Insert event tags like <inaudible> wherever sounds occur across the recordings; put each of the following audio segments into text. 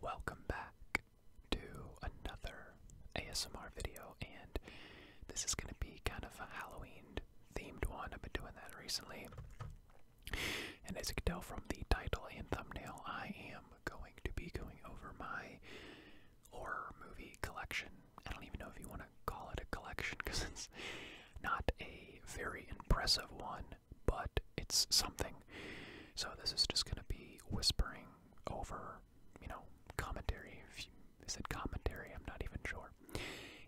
Welcome back to another ASMR video, and this is going to be kind of a Halloween themed one. I've been doing that recently, and as you can tell from the title and thumbnail, I am going to be going over my horror movie collection. I don't even know if you want to call it a collection because it's not a very impressive one, but it's something. So this is just going to be whispering over, you know, commentary. If you said commentary, I'm not even sure.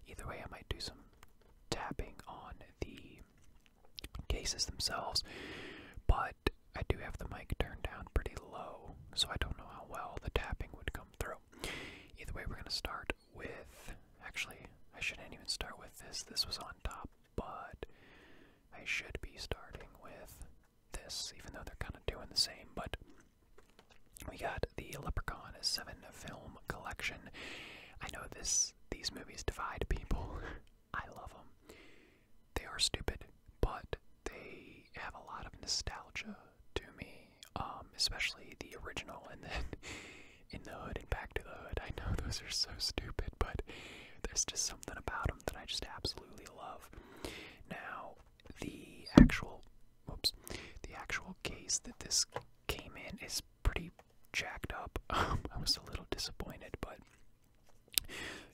Either way, I might do some tapping on the cases themselves, but I do have the mic turned down pretty low, so I don't know how well the tapping would come through. Either way, we're going to start with. Actually, I shouldn't even start with this. This was on top but I should be starting with this, even though they're kind of doing the same. But we got the Leprechaun Seven film collection. I know this; these movies divide people. <laughs> I love them. They are stupid, but they have a lot of nostalgia to me, um, especially the original, and then <laughs> in the hood and back to the hood. I know those are so stupid, but there's just so something about them that I just absolutely love. Now, the actual, oops, the actual case that this came in is pretty jacked up. <laughs> I was a little disappointed, but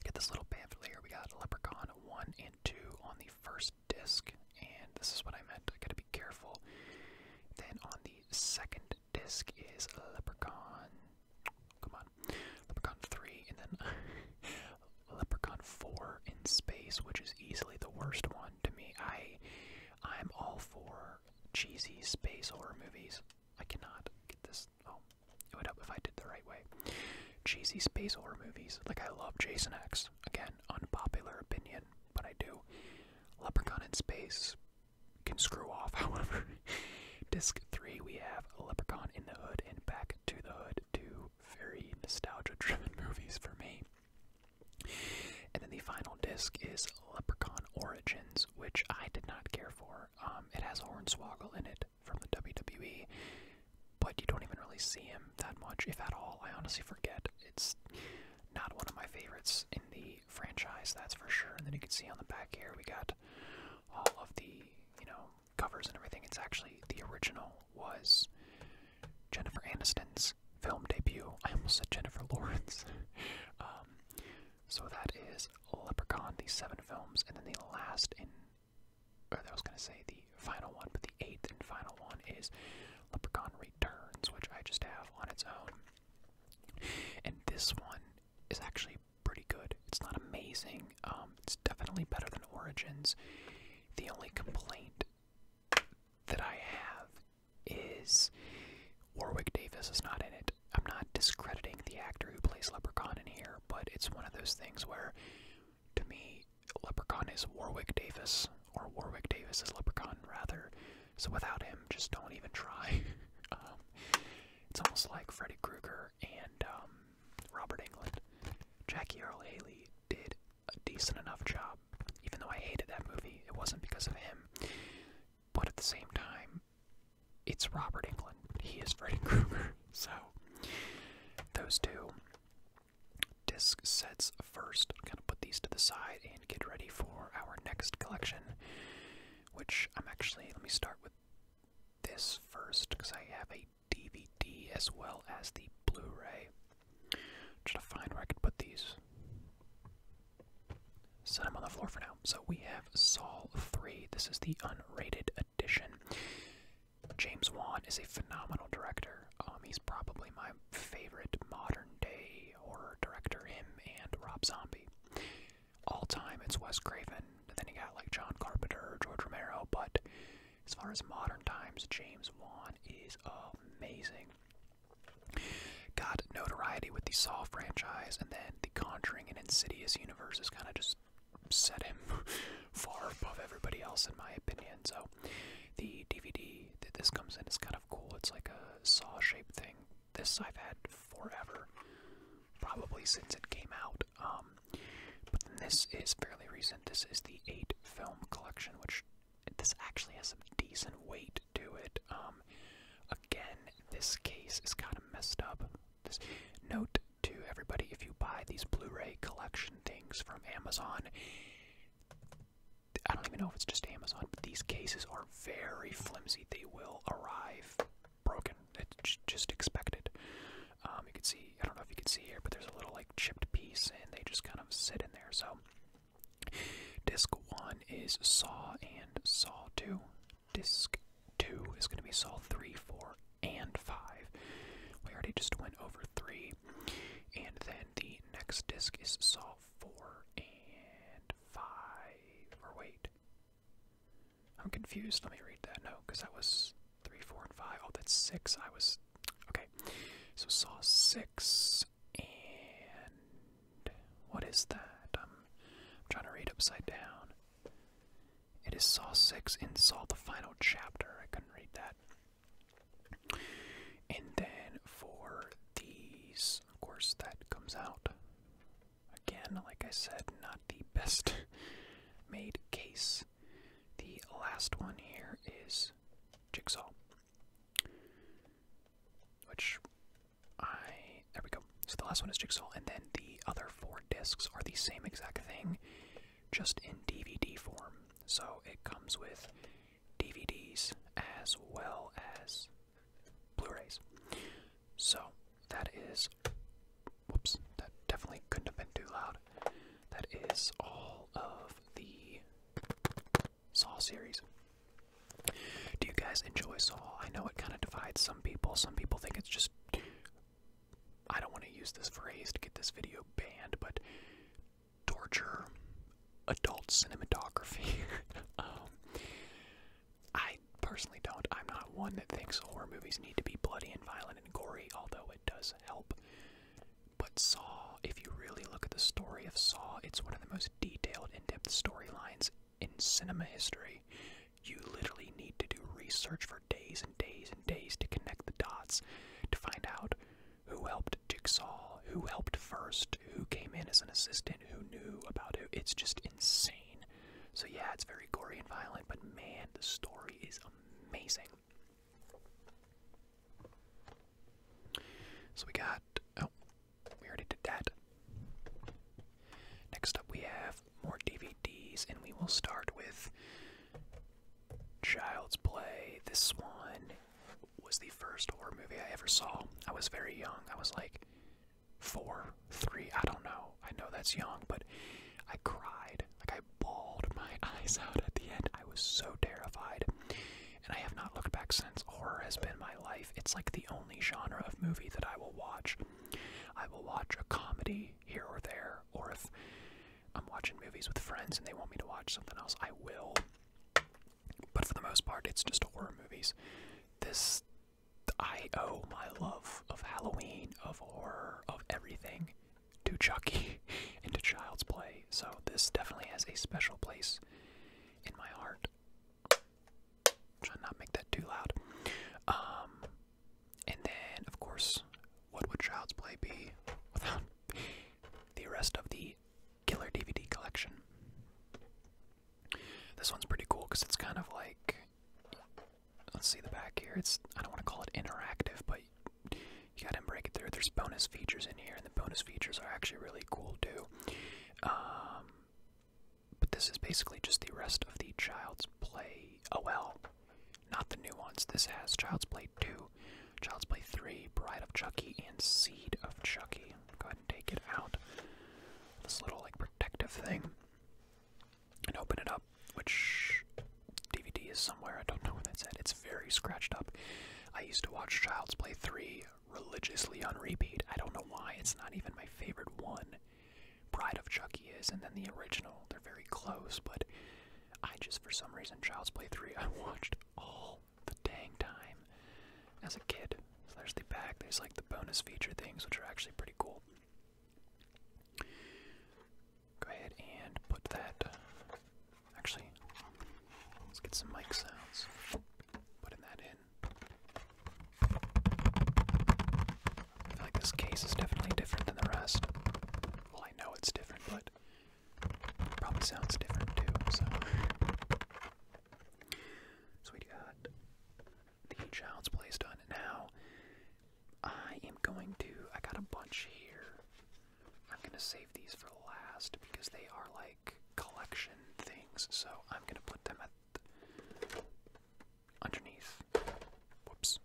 get this little pamphlet here. We got Leprechaun one and two on the first disc, and this is what I meant. I gotta be careful. Then on the second disc is Leprechaun. Come on. Leprechaun 3, and then <laughs> Leprechaun 4 in space, which is easily the worst one to me. I, I'm all for cheesy space horror movies. I cannot get this. Oh, it would help if I did the right way. Cheesy space horror movies. Like, I love Jason X. Again, unpopular opinion, but I do. Leprechaun in space can screw off, <laughs> however. Disc 3, we have Leprechaun in the Hood and Back to the Hood, two very nostalgia driven <laughs> movies for me. And then the final disc is Leprechaun Origins, which I did not care for. Um, it has Hornswoggle in it from the WWE, but you don't even really see him that much, if at all. I honestly forget. It's not one of my favorites in the franchise, that's for sure. And then you can see on the back here, we got all of the, you know, covers and everything. It's actually the original was Jennifer Aniston's film debut. I almost said Jennifer Lawrence. <laughs> Um, so that is Leprechaun, the seven films, and then the last in, or I was going to say the final one, but the eighth and final one is Leprechaun Returns, which I just have on its own. And this one is actually pretty good. It's not amazing. Um, it's definitely better than Origins. The only complaint that I have is Warwick Davis is not in it. I'm not discrediting the actor who plays Leprechaun in here, but it's one of those things where, to me, Leprechaun is Warwick Davis, or Warwick Davis is Leprechaun, rather. So without him, just don't even try. <laughs> Um, it's almost like Freddy Krueger and um, Robert Englund. Jackie Earl Haley did a decent enough job. Even though I hated that movie, it wasn't because of him. But at the same time, it's Robert Englund. He is Freddy <laughs> Krueger. So, those two disc sets first. I'm going to put these to the side and get ready for our next collection which I'm actually, let me start with this first, because I have a DVD as well as the Blu-ray. Try to find where I could put these. Set them on the floor for now. So we have Saul 3. This is the unrated edition. James Wan is a phenomenal director. Um, he's probably my favorite modern day horror director, him and Rob Zombie all time, it's Wes Craven. then you got like John Carpenter, George Romero. But as far as modern times, James Wan is amazing. Got notoriety with the Saw franchise, and then the Conjuring and Insidious universe universes kind of just set him <laughs> far above everybody else, in my opinion. So the DVD that this comes in is kind of cool. It's like a Saw shaped thing this I've had forever, probably since it came out. Um, but this is fairly recent. This is the eight film collection, which this actually has some decent weight to it. Um, again, this case is kind of messed up. This note to everybody: if you buy these Blu-ray collection things from Amazon. I don't even know if it's just Amazon, but these cases are very flimsy. They will arrive broken. It's just expected. Um, you can see, I don't know if you can see here, but there's a little like chipped piece, and they just kind of sit in there. So, disc one is saw and saw two. Disc two is going to be saw three, four, and five. We already just went over three, and then the next disc is saw four and five. Or wait, I'm confused. Let me read that. note because that was 3, 4, and 5. Oh, that's 6. I was. Okay. So Saw 6. And. What is that? I'm, I'm trying to read upside down. It is Saw 6 and Saw the Final Chapter. I couldn't read that. And then for these, of course, that comes out Again, like I said, not the best <laughs> made case. The last one here is Jigsaw. Which I. There we go. So the last one is Jigsaw, and then the other four discs are the same exact thing, just in DVD form. So it comes with DVDs as well as Blu-rays. So that is whoops, that definitely couldn't have been too loud. That is all of the Saw series. Do you guys enjoy Saw? I know it kind of divides some people. Some people think it's just I don't want to use this phrase to get this video banned, but torture adult cinematography. <laughs> Um, I personally don't. I'm not one that thinks horror movies need to be bloody and violent and gory, although it does help. But Saw, if you really look at the story of Saw, it's one of the most detailed, in depth storylines in cinema history. You literally need to do research for days and days and days to connect the dots, to find out who helped Jigsaw, who helped first, who came in as an assistant, who knew about it. It's just insane. So, yeah, it's very gory and violent, but man, the story is amazing. So, we got. Oh, we already did that. Next up, we have more DVDs, and we will start with Child's Play. This one was the first horror movie I ever saw. I was very young. I was like four, three, I don't know. I know that's young, but I cried. Like I bawled my <laughs> eyes out at the end. I was so terrified. And I have not looked back since. Horror has been my life. It's like the only genre of movie that I will watch. I will watch a comedy here or there, or if I'm watching movies with friends and they want me to watch something else, I will. But for the most part, it's just horror movies. This I owe my love of Halloween, of horror, of everything to Chucky <laughs> and to Child's Play. So this definitely has a special place in my heart. Try not make that too loud. Um, and then of course, what would Child's Play be without <laughs> the rest of the Killer DVD collection? This one's pretty cool because it's kind of like. Let's see the back here. It's I don't want to call it interactive, but you gotta break it through. There's bonus features in here, and the bonus features are actually really cool too. Um, but this is basically just the rest of the Child's Play. Oh well, not the new ones. This has Child's Play 2, Child's Play 3, Bride of Chucky, and Seed of Chucky take it out this little like protective thing and open it up which dvd is somewhere i don't know where that's at it's very scratched up i used to watch child's play 3 religiously on repeat i don't know why it's not even my favorite one pride of chucky is and then the original they're very close but i just for some reason child's play 3 <laughs> i watched all the dang time as a kid. So there's the back, there's like the bonus feature things, which are actually pretty cool. Go ahead and put that. Actually, let's get some mic sounds. Putting that in. I feel like this case is definitely different than the rest. Well, I know it's different, but probably sounds different too, so. So we got the child's place done. Now I am going to I got a bunch here. I'm gonna save these for last because they are like collection things, so I'm gonna put them at underneath. Whoops.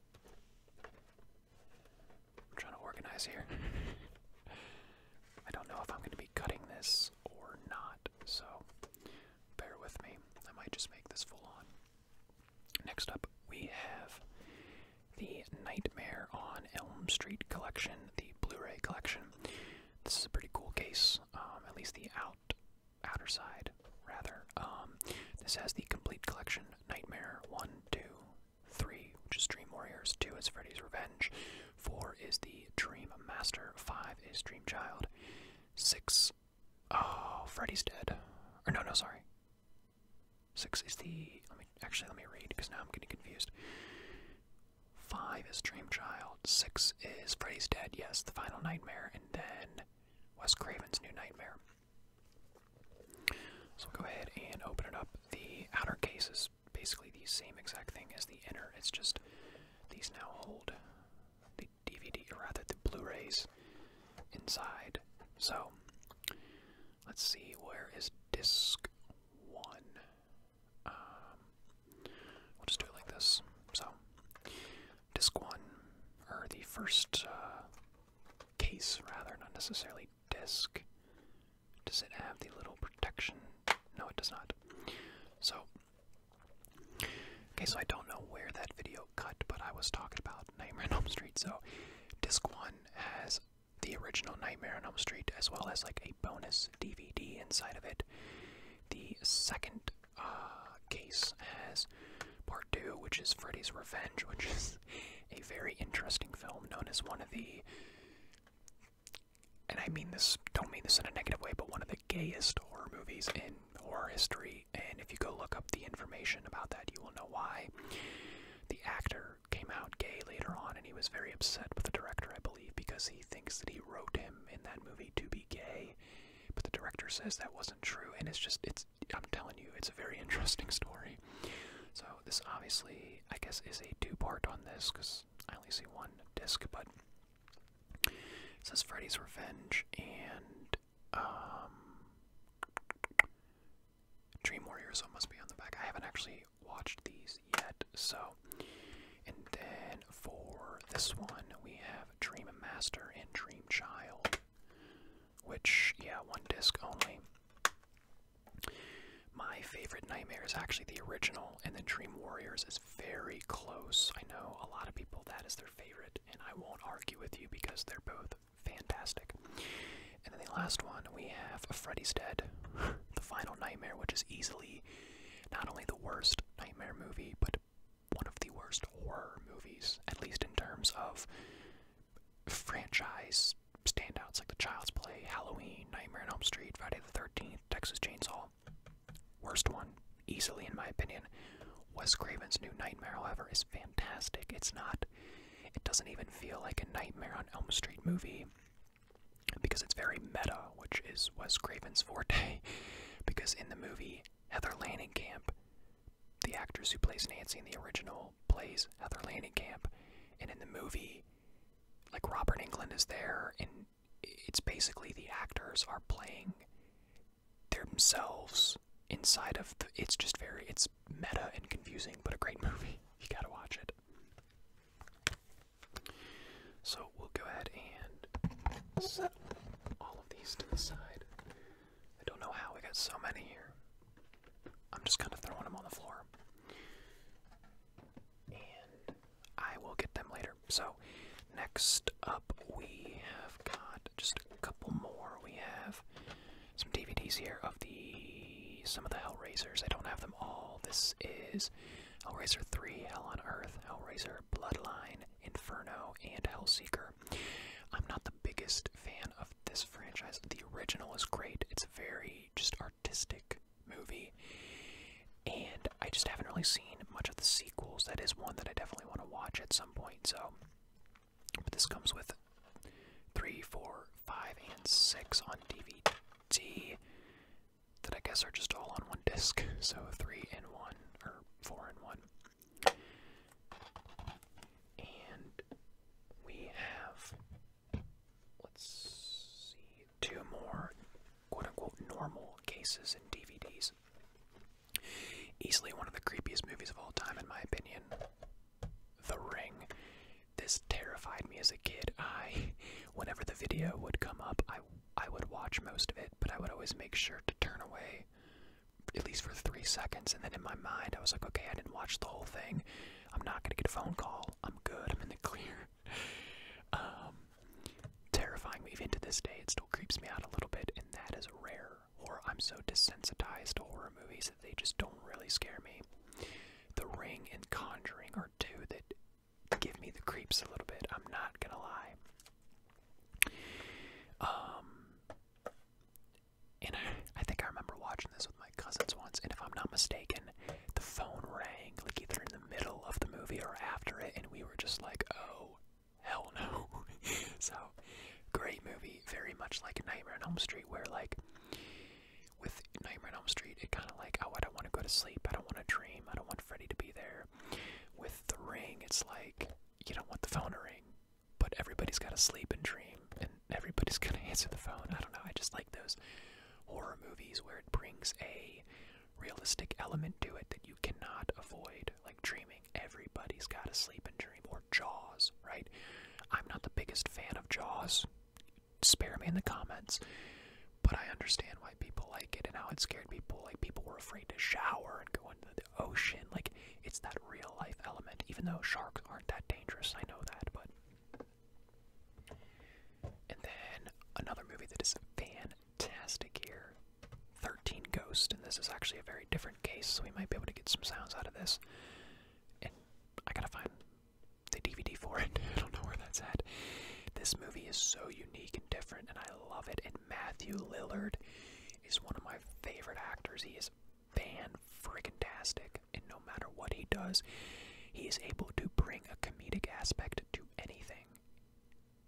I'm trying to organize here. <laughs> I don't know if I'm gonna be cutting this or not so bear with me. I might just make this full on. Next up, we have the Nightmare on Elm Street collection, the Blu-ray collection. This is a pretty cool case, um, at least the out outer side, rather. Um, this has the complete collection: Nightmare One, Two, Three, which is Dream Warriors. Two is Freddy's Revenge. Four is the Dream Master. Five is Dream Child. Six, oh, Freddy's dead. Or no, no, sorry. Six is the. Let me actually let me read because now I'm getting confused. Five is Dream Child. Six is Freddy's dead. Yes, the Final Nightmare, and then Wes Craven's New Nightmare. So we'll go ahead and open it up. The outer cases basically the same exact thing as the inner. It's just these now hold the DVD, or rather the Blu-rays inside. So let's see, where is disc one? Um, we'll just do it like this. So disc one, or the first uh, case, rather, not necessarily disc. Does it have the little protection? No, it does not. So Okay, so I don't know where that video cut, but I was talking about Nightmare on Elm Street. So, disc one has the original Nightmare on Elm Street, as well as like a bonus DVD inside of it. The second uh, case has part two, which is Freddy's Revenge, <laughs> which is a very interesting film known as one of the and I mean this, don't mean this in a negative way, but one of the gayest horror movies in horror history. And if you go look up the information about that, you will know why. The actor came out gay later on, and he was very upset with the director, I believe, because he thinks that he wrote him in that movie to be gay. But the director says that wasn't true, and it's just, it's, I'm telling you, it's a very <laughs> interesting story. So, this obviously, I guess, is a two part on this, because I only see one disc, but it says Freddy's Revenge and um, Dream Warriors must be on the back. I haven't actually watched these yet, so. And then for this one, we have Dream Master and Dream Child, which, yeah, one disc only. My favorite Nightmare is actually the original, and then Dream Warriors is very close. I know a lot of people that is their favorite, and I won't argue with you because they're both fantastic. And then the last one, we have Freddy's Dead, <laughs> The Final Nightmare, which is easily not only the worst Nightmare movie, but one of the worst horror movies, at least in terms of franchise standouts like The Child's Play, Halloween, Nightmare on Elm Street, Friday the 13th, Texas Chainsaw. Worst one, easily in my opinion. Wes Craven's New Nightmare, however, is fantastic. It's not, it doesn't even feel like a Nightmare on Elm Street movie because it's very meta, which is Wes Craven's forte. <laughs> because in the movie Heather Camp, the actress who plays Nancy in the original plays Heather Camp, and in the movie, like Robert England is there, and it's basically the actors are playing themselves inside of the, it's just very it's meta and confusing but a great <laughs> movie you gotta watch it so we'll go ahead and set all of these to the side i don't know how we got so many here i'm just kind of throwing them on the floor and I will get them later. So, next up, we have got just a couple more. We have some DVDs here of the some of the Hellraisers. I don't have them all. This is Hellraiser 3, Hell on Earth, Hellraiser Bloodline, Inferno, and Hellseeker. I'm not the biggest fan of this franchise. The original is great. It's very just art artistic movie. And I just haven't really seen much of the sequels. That is one that I definitely want to watch at some point. So, but this comes with three, four, five, and six on DVD. That I guess are just all on one disc. <laughs> So three and one or four and one. And we have. Let's see Two more quote unquote normal cases in DVDs. Easily one of the creepiest movies of all time, in my opinion. The Ring. This terrified me as a kid. I, whenever the video would come up, I, I would watch most of it, but I would always make sure to turn away at least for three seconds. And then in my mind, I was like, okay, I didn't watch the whole thing. I'm not going to get a phone call. I'm good. I'm in the clear. <laughs> Um, terrifying me. Even to this day, it still creeps me out a little bit, and that is rare. Or I'm so desensitized to horror movies that they just don't really scare me. The Ring and Conjuring are two that give me the creeps a little bit. I'm not gonna lie. Um, and I, I think I remember watching this with my cousins once, and if I'm not mistaken, the phone rang, like either in the middle of the movie or after it, and we were just like, oh, hell no. <laughs> so, great movie, very much like Nightmare on Elm Street, where like, with Nightmare on Elm Street, it kind of like, oh, I don't want to go to sleep, I don't want to dream, I don't want Freddy to be there. With The Ring, it's like, you don't want the phone to ring, but everybody's got to sleep and dream, and everybody's <laughs> going to answer the phone. I don't know, I just like those horror movies where it brings a realistic element to it that you cannot avoid, like dreaming. Everybody's got to sleep and dream, or Jaws, right? I'm not the biggest fan of Jaws. Spare me in the comments. But I understand why people like it and how it scared people. Like, people were afraid to shower and go into the ocean. Like, it's that real life element, even though sharks aren't that dangerous. I know that, but and then another movie that is fantastic here 13 Ghost, and this is actually a very different case, so we might be able to get some sounds out of this. And I gotta find the DVD for it, <laughs> I don't know where that's at. This movie is so unique and different, and I love it. And Matthew Lillard is one of my favorite actors. He is fan friggin' tastic, and no matter what he does, he is able to bring a comedic aspect to anything.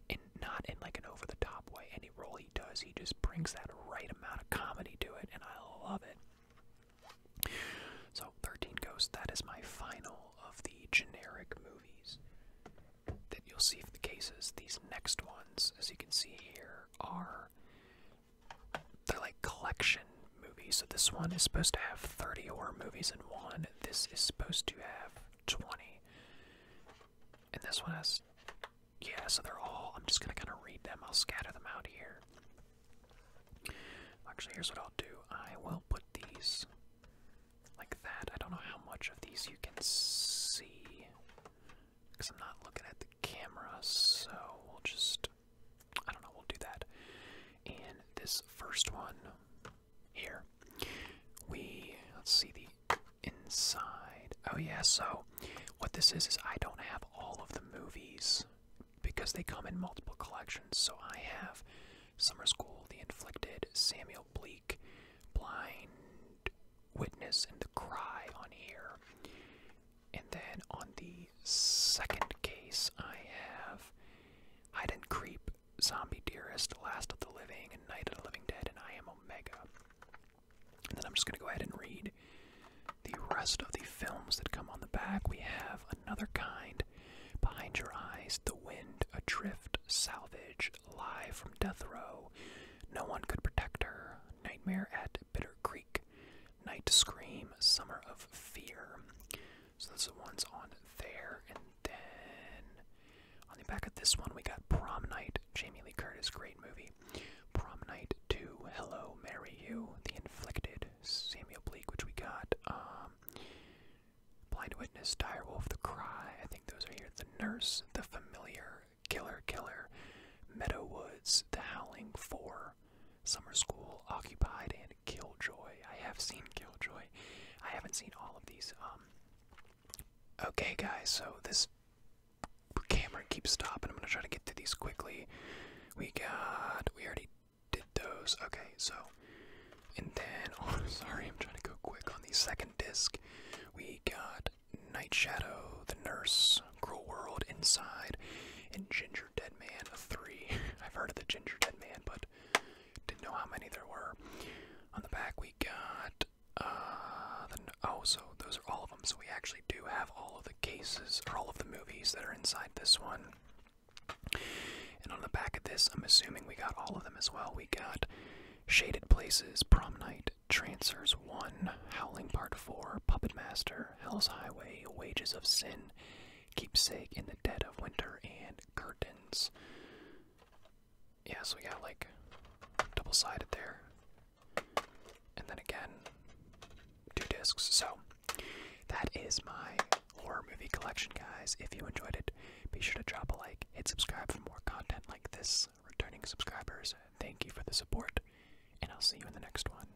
And not in like an over the top way. Any role he does, he just brings that right amount of comedy to it, and I love it. So, 13 Ghosts, that is my final of the generic movies that you'll see for the cases. These next ones, as you can see here, are. They're like collection movie. So this one is supposed to have 30 horror movies in one. This is supposed to have 20. And this one has. Yeah, so they're all. I'm just going to kind of read them. I'll scatter them out here. Actually, here's what I'll do I will put these like that. I don't know how much of these you can see because I'm not looking at the camera, so we'll just I don't know, we'll do that. And this first one here, we, let's see the inside. Oh, yeah, so what this is is I don't have all of the movies because they come in multiple collections. So I have Summer School, The Inflicted, Samuel Bleak, Blind Witness, and The Cry on here. And then on the second case, I have Hide and Creep, Zombie Dearest, Last of the Living, and Night of the Living Dead, and I Am Omega. And then I'm just going to go ahead and read the rest of the films that come on the back. We have Another Kind, Behind Your Eyes, The Wind, Adrift, Salvage, Live from Death Row, No One Could Protect Her, Nightmare at Bitter Creek, Night Scream, Summer of Fear, so those are the ones on there. And then on the back of this one, we got Prom Night, Jamie Lee Curtis, great movie. Prom Night 2, Hello, Mary, You, The Inflicted, Samuel Bleak, which we got. Um, Blind Witness, Dire Wolf, The Cry, I think those are here. The Nurse, The Familiar, Killer Killer, Meadow Woods, The Howling 4, summer. School, Occupied, and Killjoy. I have seen Killjoy. I haven't seen all of these. Um, okay, guys, so this camera keeps stopping. I'm gonna try to get through these quickly. We got. We already did those. Okay, so. And then. <laughs> Oh, sorry, I'm trying to go quick on the second disc. We got Night Shadow, The Nurse, Cruel World, Inside, and Ginger Dead Man 3. <laughs> I've heard of the Ginger Dead Man, but didn't know how many there were. On the back, we got. Uh, oh, so those are all of them. So we actually do have all of the cases, or all of the movies that are inside this one. And on the back of this, I'm assuming we got all of them as well. We got Shaded Places, Prom Night, Transfers 1, Howling Part 4, Puppet Master, Hell's Highway, Wages of Sin, keepsake in the dead of winter, and curtains. Yeah, so we got like double sided there. And then again, two discs. So that is my horror movie collection, guys. If you enjoyed it, be sure to drop a like, hit subscribe for more content like this. Returning subscribers, thank you for the support, and I'll see you in the next one.